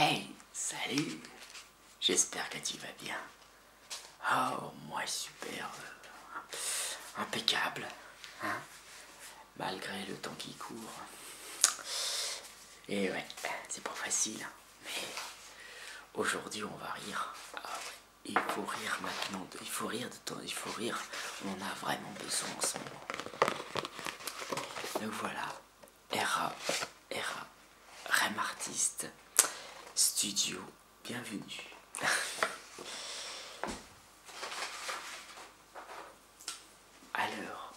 Hey, salut J'espère que tu vas bien. Oh, moi, super. Impeccable. Hein Malgré le temps qui court. Et ouais, c'est pas facile. Hein. Mais aujourd'hui, on va rire. Ah il faut rire maintenant, il faut rire de temps, il faut rire, on en a vraiment besoin en ce moment. Donc voilà, RA, RA, Rem Studio bienvenue. Alors,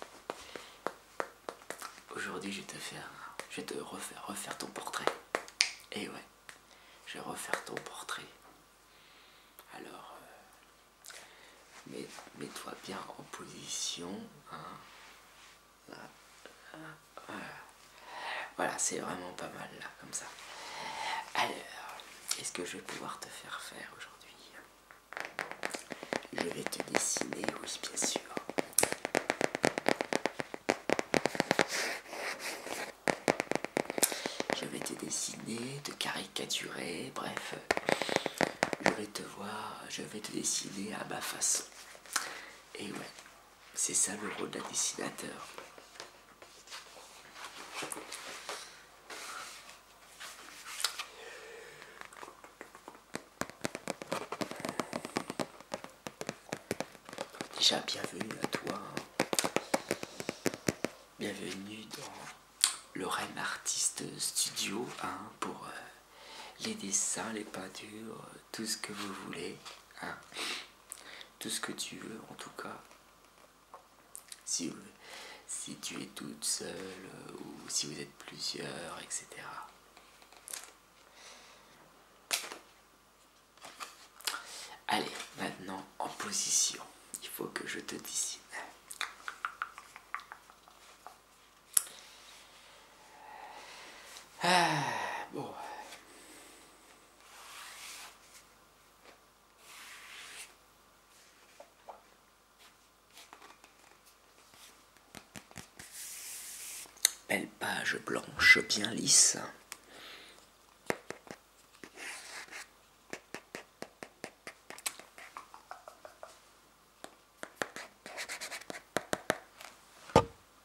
aujourd'hui je vais te faire, je te refaire, refaire ton portrait. Et eh ouais, je vais refaire ton portrait. Alors, euh, mets-toi bien en position. Hein. Voilà, c'est vraiment pas mal là, comme ça. Alors, est-ce que je vais pouvoir te faire faire aujourd'hui Je vais te dessiner, oui, bien sûr. Je vais te dessiner, te caricaturer, bref. Je vais te voir, je vais te dessiner à ma façon. Et ouais, c'est ça le rôle d'un dessinateur. Déjà, bienvenue à toi. Bienvenue dans le REM Artist Studio hein, pour euh, les dessins, les peintures, tout ce que vous voulez. Hein tout ce que tu veux en tout cas. Si, si tu es toute seule euh, ou si vous êtes plusieurs, etc. Allez, maintenant en position. Il faut que je te dessine. Ah, bon. Belle page blanche bien lisse.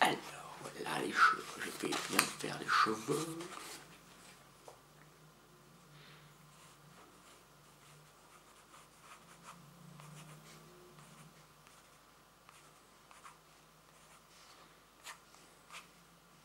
Alors, voilà les cheveux, je vais bien faire les cheveux.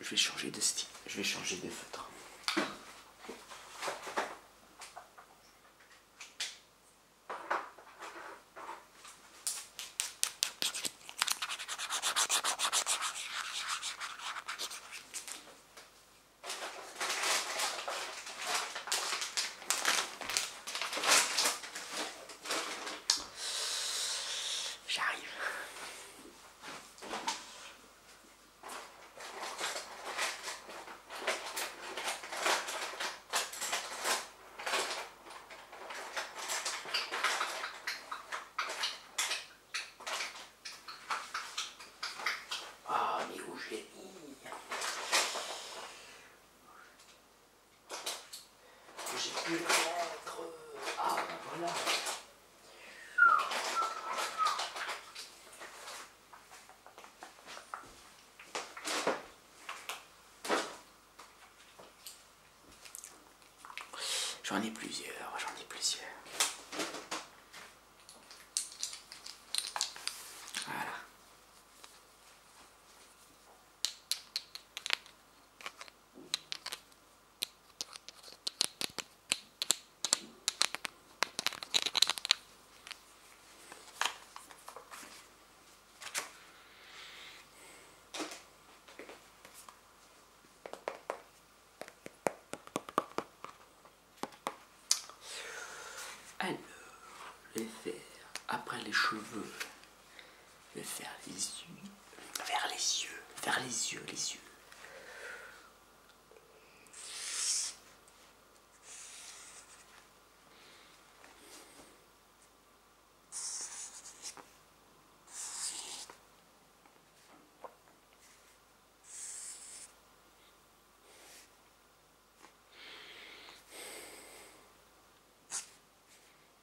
je vais changer de style, je vais changer de feutre. J'arrive. Ah, mais où je mis J'ai pu le mettre. Ah, ben voilà. J'en ai plusieurs, j'en ai plusieurs. Voilà. Alors, les faire après les cheveux vers les yeux, vers les yeux, vers les yeux, les yeux.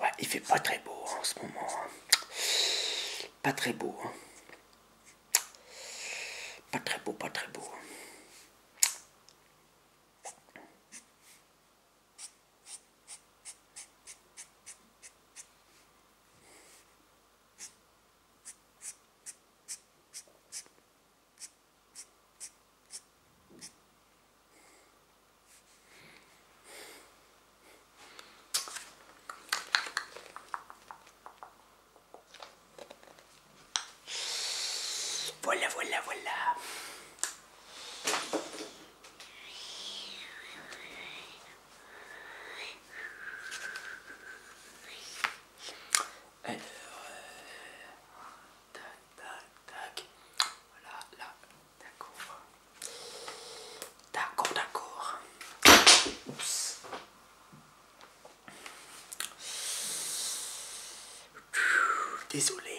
Ouais, il fait pas très beau hein, en ce moment. Hein. Hein. Pas très beau. Pas très beau, pas très beau. Voilà, voilà, voilà. Alors, euh, D'accord, d'accord. Désolé.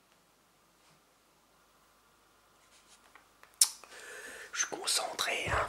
Je suis concentré. Hein.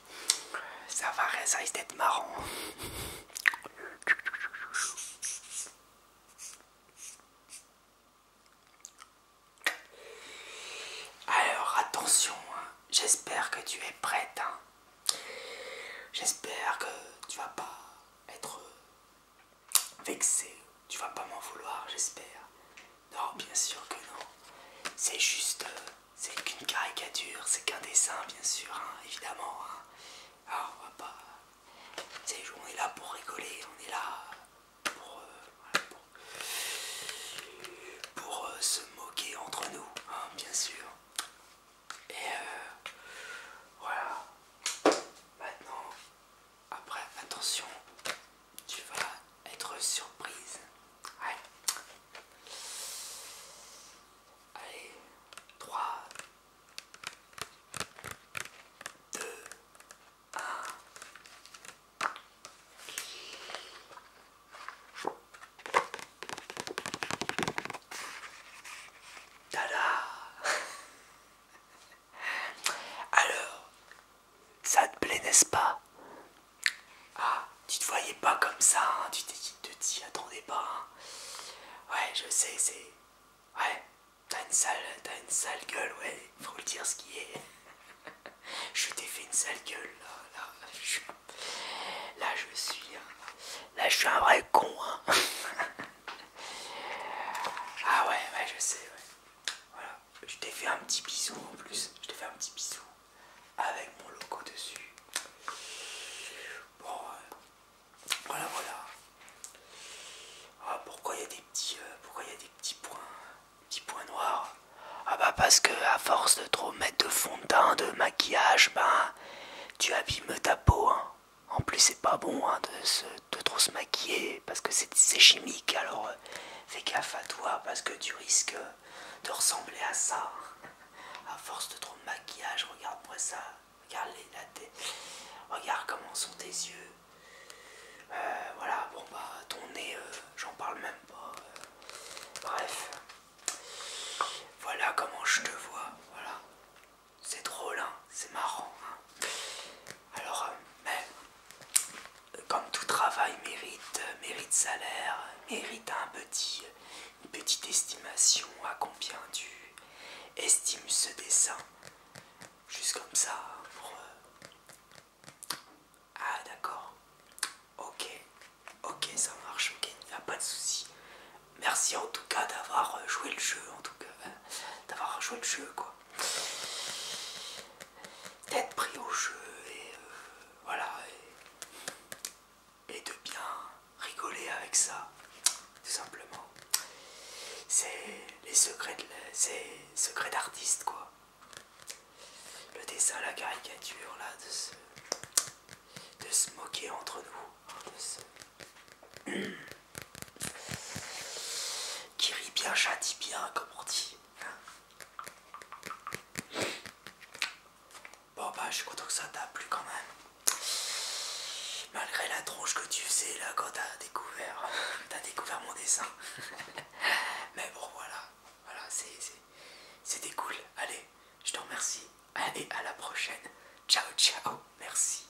Ça va, ça risque d'être marrant. Alors attention, hein. j'espère que tu es prête. Hein. J'espère que tu vas pas être vexée, tu vas pas m'en vouloir, j'espère. Non, bien sûr que non. C'est juste, euh, c'est qu'une caricature, c'est qu'un dessin, bien sûr, hein, évidemment. Hein. Alors, ah, on va pas. on est là pour rigoler, on est là pour, euh, pour, euh, se moquer entre nous, hein, bien sûr. Et euh, voilà. Maintenant, après, attention, tu vas être surprise. Allez, Allez. 3, 2, 1. Tada Alors, ça te plaît, n'est-ce pas Ah, tu te voyais pas comme ça, hein. tu de dis, attendez pas. Hein. ouais, je sais, c'est. Ouais, t'as une sale, t'as une sale gueule, ouais, faut le dire ce qui est. je t'ai fait une sale gueule, là, je, suis. Là, je suis un vrai con, hein. ah ouais, ouais, je sais, ouais. Voilà je t'ai fait un petit bisou en plus. Je t'ai fait un petit bisou avec mon logo dessus. Bon, euh, voilà, voilà. Ah, pourquoi il y a des petits, euh, des petits points, petits points noirs Ah bah parce que à force de trop mettre de fond de teint, de maquillage, ben tu abîmes ta peau. Hein. En plus c'est pas bon hein, de, se, trop se maquiller parce que c'est chimique. Alors euh, fais gaffe à toi parce que tu risques de ressembler à ça. À force de trop de maquillage, regarde pour ça. Regarde les, la Regarde comment sont tes yeux. Euh, voilà, bon bah ton nez, euh, j'en parle même pas. Euh. bref. Voilà comment je te vois. Voilà. C'est drôle, hein. C'est marrant. Hein. Alors, mais comme tout travail mérite, euh, mérite salaire, mérite un petit, une petite estimation à combien tu estimes ce dessin. Juste comme ça. Pour... Euh, ah d'accord. Ok. Ok, ça marche. Ok, il n'y a pas de souci. Merci en tout cas d'avoir euh, joué le jeu. En tout cas, d'avoir joué le jeu quoi d'être pris au jeu et euh, voilà et, de bien rigoler avec ça tout simplement c'est les secrets c'est secrets d'artiste quoi le dessin la caricature là de se de se moquer entre nous hein, qui rit bien jadis bien comme on dit hein. Bon bah je suis content que ça t'a plu quand même. Malgré la tronche que tu faisais là quand t'as découvert, t'as découvert mon dessin. Mais bon voilà, voilà c'était cool. Allez, je te remercie. Allez, à la prochaine. Ciao, ciao. Merci.